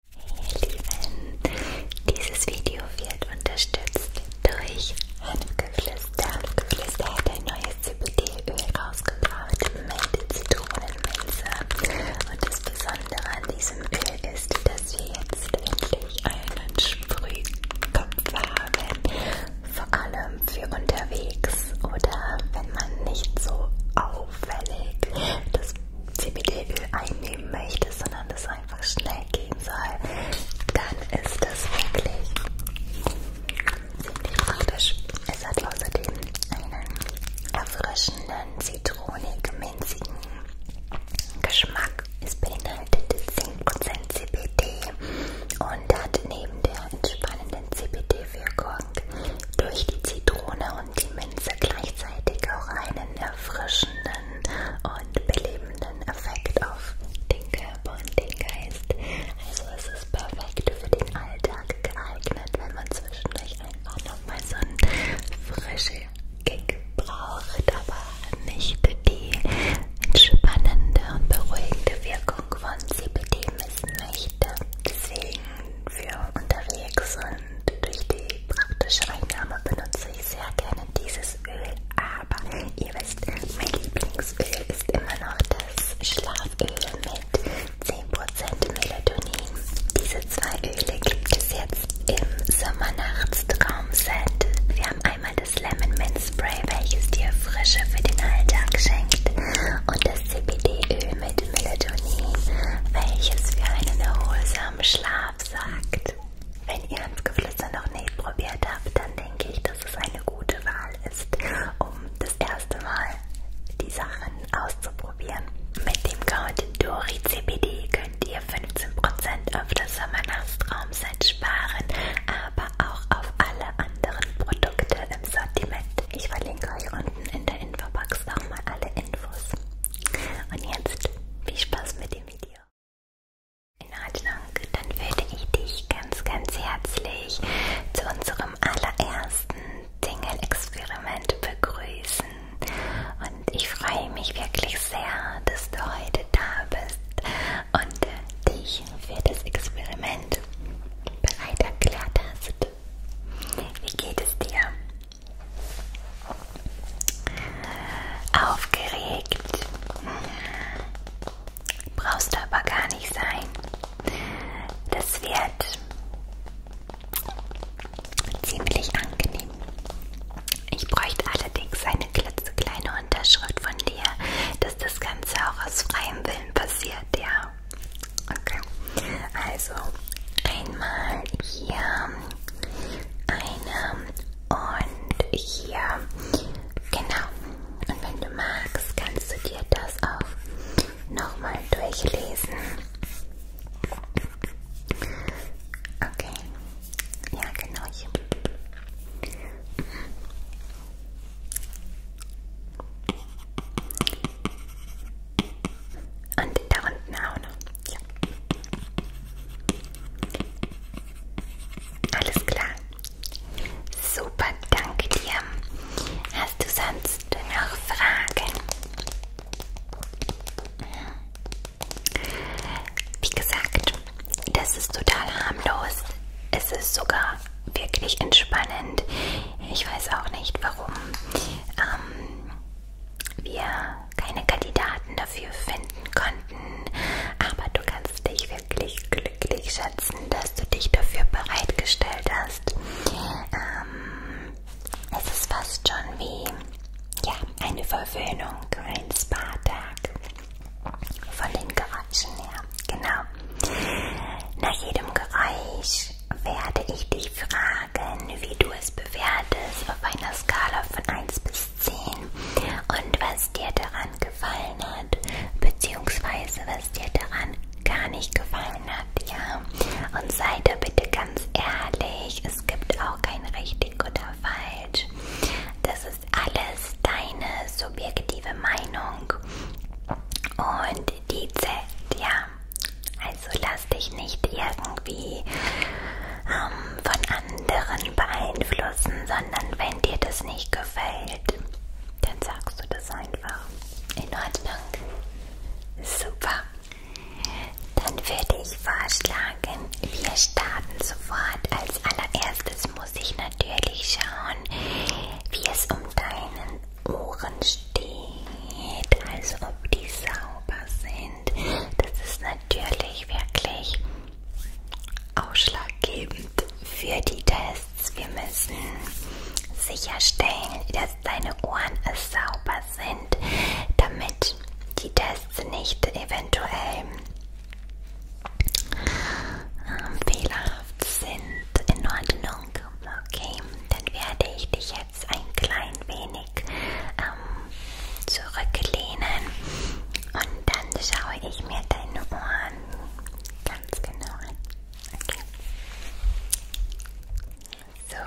Hey Lieben, dieses Video wird unterstützt durch Hanfgeflüster. Hanfgeflüster hat ein neues CBD-Öl rausgebracht mit Zitronenmelisse. Und das Besondere an diesem Öl ist, dass wir jetzt endlich einen Sprühkopf haben. Vor allem für unterwegs oder wenn man nicht so auffällig das CBD-Öl einnehmen möchtest, sondern es einfach schnell gehen soll, dann ist das wirklich ziemlich praktisch. Es hat außerdem einen erfrischenden, zitronig, minzigen Geschmack. Es beinhaltet 10% CBD und hat neben der entspannenden CBD-Wirkung durch die Zitrone und die Minze gleichzeitig auch einen erfrischenden und belebenden Effekt auf den Körper und den Geist. Also es ist perfekt für den Alltag geeignet, wenn man zwischendurch einfach nochmal so einen frischen Kick braucht, aber nicht die entspannende und beruhigende Wirkung von CBD missen möchte. Deswegen für unterwegs und durch die praktische Einnahme benutze ich sehr gerne dieses Öl. Aber ihr wisst, mein Lieblingsöl ist immer noch das Schlaföl mit 10% Melatonin. Diese zwei Öle gibt es jetzt im Sommernachtstraumset. Wir haben einmal das Lemon Mint Spray, welches dir Frische für den Alltag schenkt und das CBD-Öl mit Melatonin, welches für einen erholsamen hinterm Schlaf sagt. Wenn ihr Hanfgeflüster noch nicht probiert habt, dann denke ich, dass es eine gute Wahl ist, um das erste Mal die Sachen auszuprobieren. Mit dem Code DORICBD könnt ihr 15% auf das Sommernachtstraumset sparen, aber auch auf alle anderen Produkte im Sortiment. Ich verlinke euch unten in der Infobox nochmal alle Infos. Und jetzt viel Spaß mit dem Video. In Ordnung, dann würde ich dich ganz, ganz herzlich zu unserem allerersten Single-Experiment begrüßen. Und ich freue mich wirklich sehr, dass du heute da bist und dich für das Experiment bereit erklärt hast. Wie geht es dir? Aufgeregt. Brauchst du aber gar nicht sein. Das wird ziemlich angenehm. Ich bräuchte allerdings eine klitzekleine Unterschrift von dir, dass das Ganze auch aus freiem Willen passiert, ja. Okay, also einmal hier eine und hier. Genau. Und wenn du magst, kannst du dir das auch nochmal durchlesen. Okay. Ja, genau hier. Mhm. Und da unten auch noch. Ja. Alles klar. Super, danke dir. Hast du sonst noch Fragen? Wie gesagt, das ist total harmlos. Es ist sogar wirklich entspannend. Ich weiß auch nicht warum. Ähm, wir keine Kandidaten dafür finden konnten. Aber du kannst dich wirklich glücklich schätzen, dass du dich dafür bereitgestellt hast. Ähm, es ist fast schon wie ja, eine Verwöhnung, ein Spa-Tag. Von den Geräuschen her, genau. Nach jedem Geräusch werde ich dich fragen, wie du es bewertest auf einer Skala von 1 bis 10 und was dir daran gefallen hat, beziehungsweise was dir daran gar nicht gefallen hat, ja. Und sei da bitte ganz ehrlich, es gibt auch kein richtig oder falsch. Das ist alles deine subjektive Meinung und die zählt, ja. Also lass dich nicht irgendwie ähm, von anderen beeinflussen, sondern wenn dir das nicht gefällt, dann sagst du das einfach. In Ordnung. Super. Dann würde ich vorschlagen, wir starten sofort. Als allererstes muss ich natürlich schauen, wie es um deinen Ohren steht, als ob die sauber sind. Das ist natürlich wirklich ausschlaggebend für die Tests. Wir müssen sicherstellen, dass deine Ohren sauber sind, damit die Tests nicht eventuell ähm, fehlerhaft sind. In Ordnung. Okay, dann werde ich dich jetzt ein klein wenig ähm, zurücklehnen und dann schaue ich mir deine Ohren ganz genau an. Okay. So,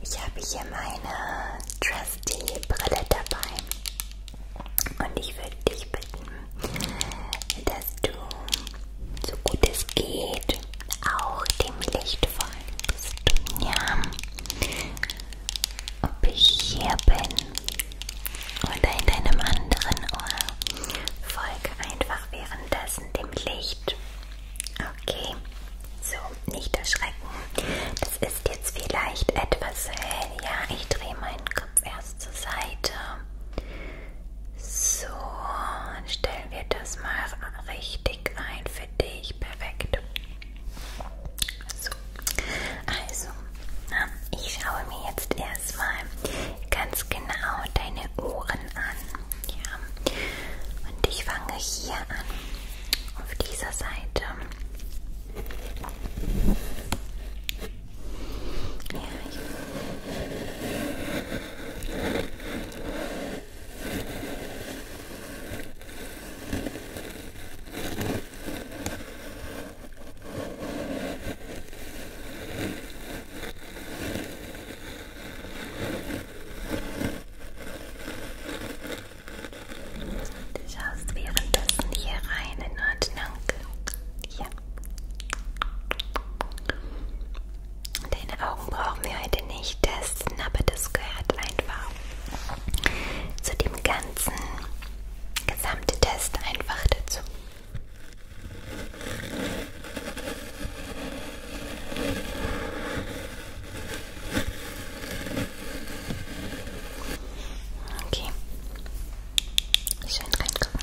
ich habe hier meine Trusty Brille dabei und ich würde dich bitten, dass du so gut es geht, auch dem Licht folgen bist. Ja, ob ich hier bin oder in einem anderen Ohr, folge einfach währenddessen dem Licht. Okay, so, nicht erschrecken. Das ist jetzt vielleicht etwas hell. Ja, ich drehe meinen Kopf erst zur Seite. So, dann stellen wir das mal richtig ein für dich. Perfekt. So, also, ich schaue mir jetzt erstmal ganz genau deine Ohren an. Ja. Und ich fange hier an, auf dieser Seite. Ja, Du schaust währenddessen hier rein in Ordnung. Ja. Deine Augen brauchen wir heute nicht testen, aber das gehört einfach zu dem ganzen gesamten Test einfach dazu. Okay. Schön reingucken.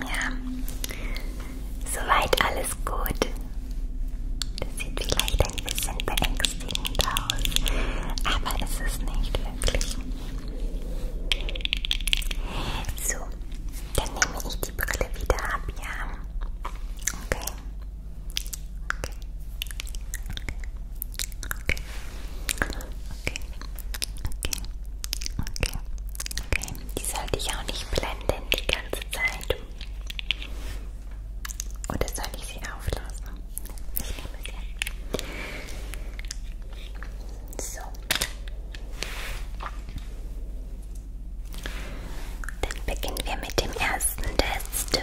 Ja, soweit alles gut. Das sieht vielleicht ein bisschen beängstigend aus, aber es ist nicht wirklich. So, dann nehme ich die Brille wieder ab, ja. Okay. Okay. Okay. okay. Okay, okay, okay, okay. Die sollte ich auch nicht blenden die ganze Zeit. Oder soll ich sie auflassen? Ich nehme sie an. So. Dann beginnen wir mit dem ersten Test.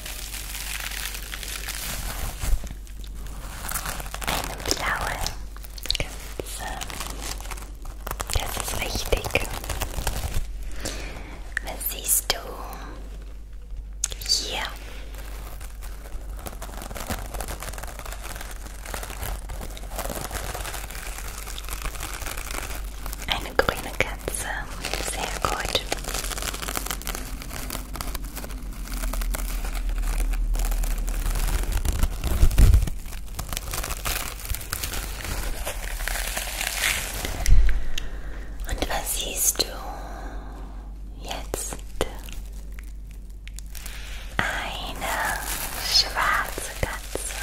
Blaue Skizze. Das ist wichtig. Was siehst du hier? Ein eine grüne Katze. Sehr gut. Und was siehst du jetzt? Eine schwarze Katze.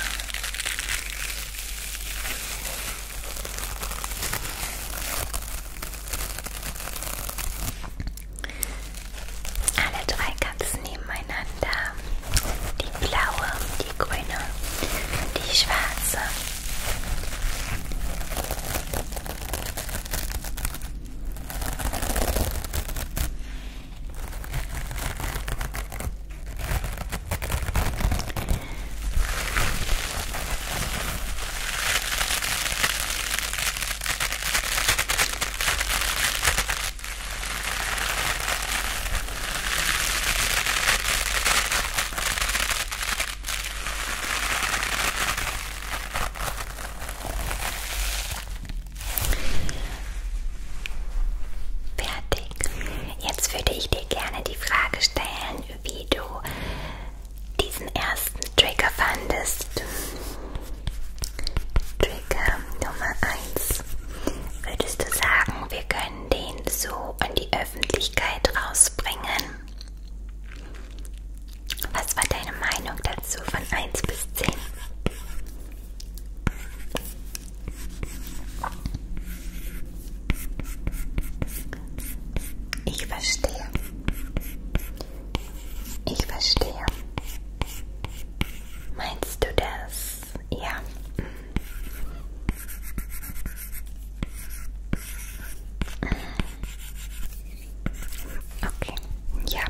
Alle drei ganz nebeneinander. Die blaue, die grüne, die schwarze. Fertig. Jetzt würde ich dir gerne die Frage stellen, wie du diesen ersten Trigger fandest. Trigger Nummer 1. Würdest du sagen, wir können den so an die Öffentlichkeit rausbringen? Was war deine Meinung dazu von 1 bis 10? Ich verstehe. Ich verstehe. Meinst du das? Ja. Okay, ja.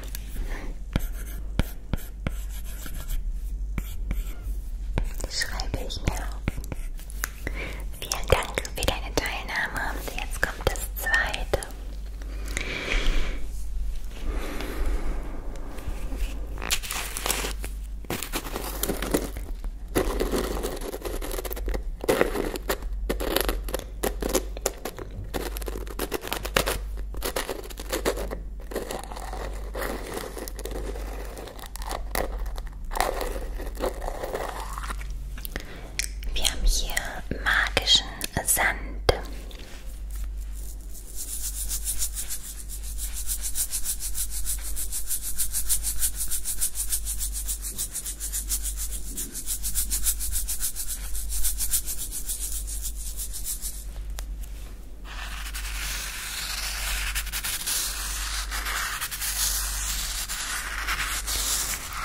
Schreibe ich mir auf. Vielen Dank für deine Teilnahme. Jetzt kommt das zweite. Wir haben hier magischen Sand.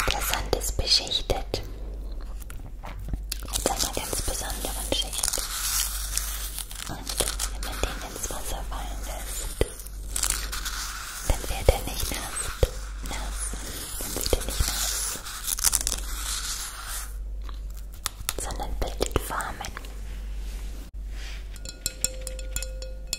Der Sand ist beschichtet mit einer ganz besonderen Schicht. Und wenn man den ins Wasser fallen lässt, dann wird er nicht nass. Nass. Dann wird er nicht nass. Sondern bildet Formen.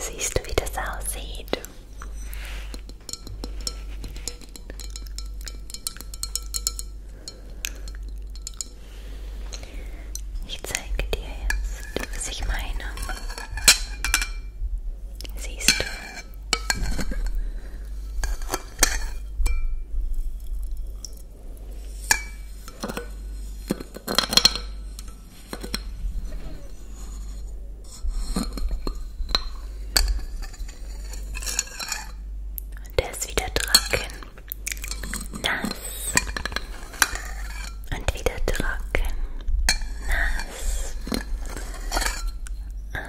Siehst du, wie das aussieht? Ich zeige dir jetzt, was ich meine. Siehst du? Und der ist wieder trocken, nass und wieder trocken, nass. Ah,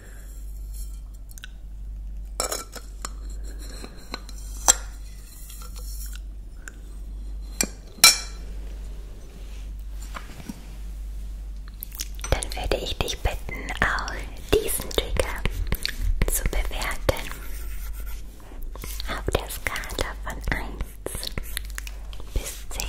Dann würde ich dich bitten, auch diesen Trigger zu bewerten. Auf der Skala von 1 bis 10.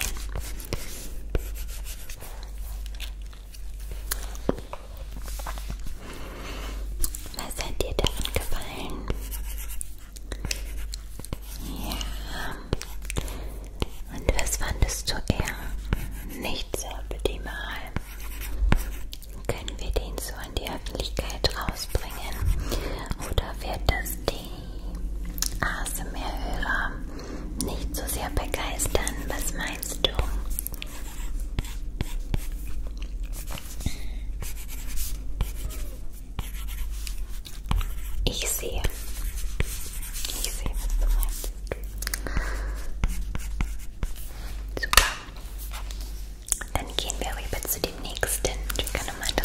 Was hat dir daran gefallen? Ja. Und was fandest du eher nicht sehr optimal? Können wir den so an die Öffentlichkeit rausbringen? Oder wird das die ASMR-Hörer nicht so sehr begeistern. Was meinst du? Ich sehe. Ich sehe, was du meinst. Super. Dann gehen wir rüber zu dem nächsten. Trigger Nummer 3.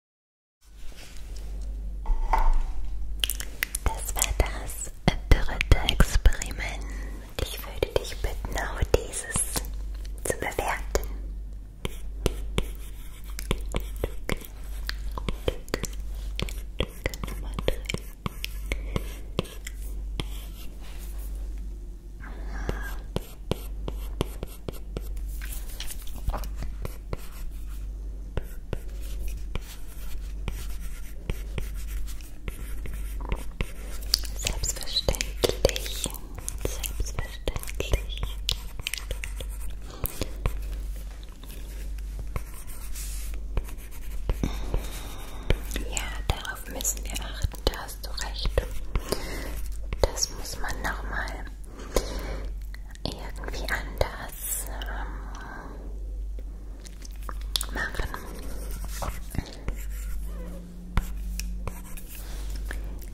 Das war das dritte Experiment. Ich würde dich bitten, auch dieses zu bewerten. Selbstverständlich. Selbstverständlich. Ja, darauf müssen wir achten, da hast du recht. Das muss man nochmal irgendwie anders ähm, machen.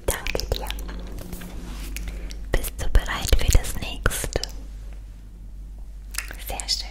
Danke dir. Bist du bereit für das nächste? Sehr schön.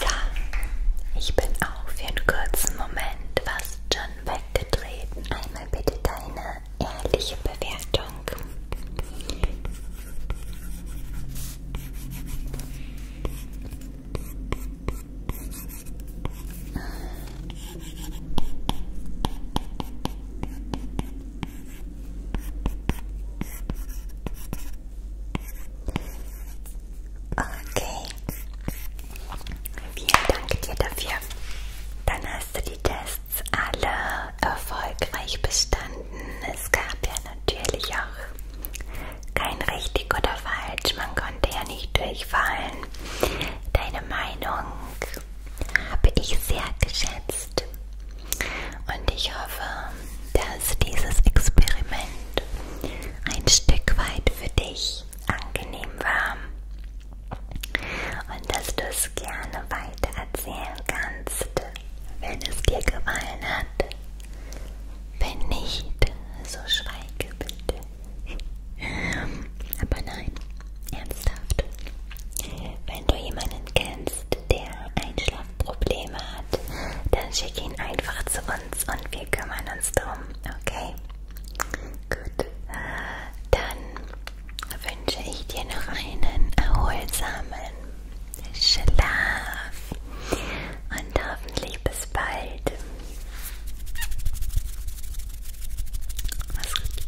So, ich bin auch für einen kurzen Moment fast schon weggetreten. Einmal bitte deine ehrliche Bewertung. Okay. Vielen Dank dir dafür. Dann hast du die Tests alle erfolgreich bestanden. Es gab ja natürlich auch kein richtig oder falsch. Man konnte ja nicht durchfallen. Deine Meinung habe ich sehr geschätzt. Und ich hoffe, dass dieses Experiment ein Stück weit für dich angenehm war und dass du es gerne weiter erzählen kannst, wenn es dir gefallen hat. Wenn nicht, so schweige bitte. Aber nein, ernsthaft. Wenn du jemanden kennst, der Einschlafprobleme hat, dann schick ihn einfach zu uns und wir kümmern uns drum, okay? Gut, dann wünsche ich dir noch einen erholsamen Schlaf und hoffentlich bis bald. Mach's gut.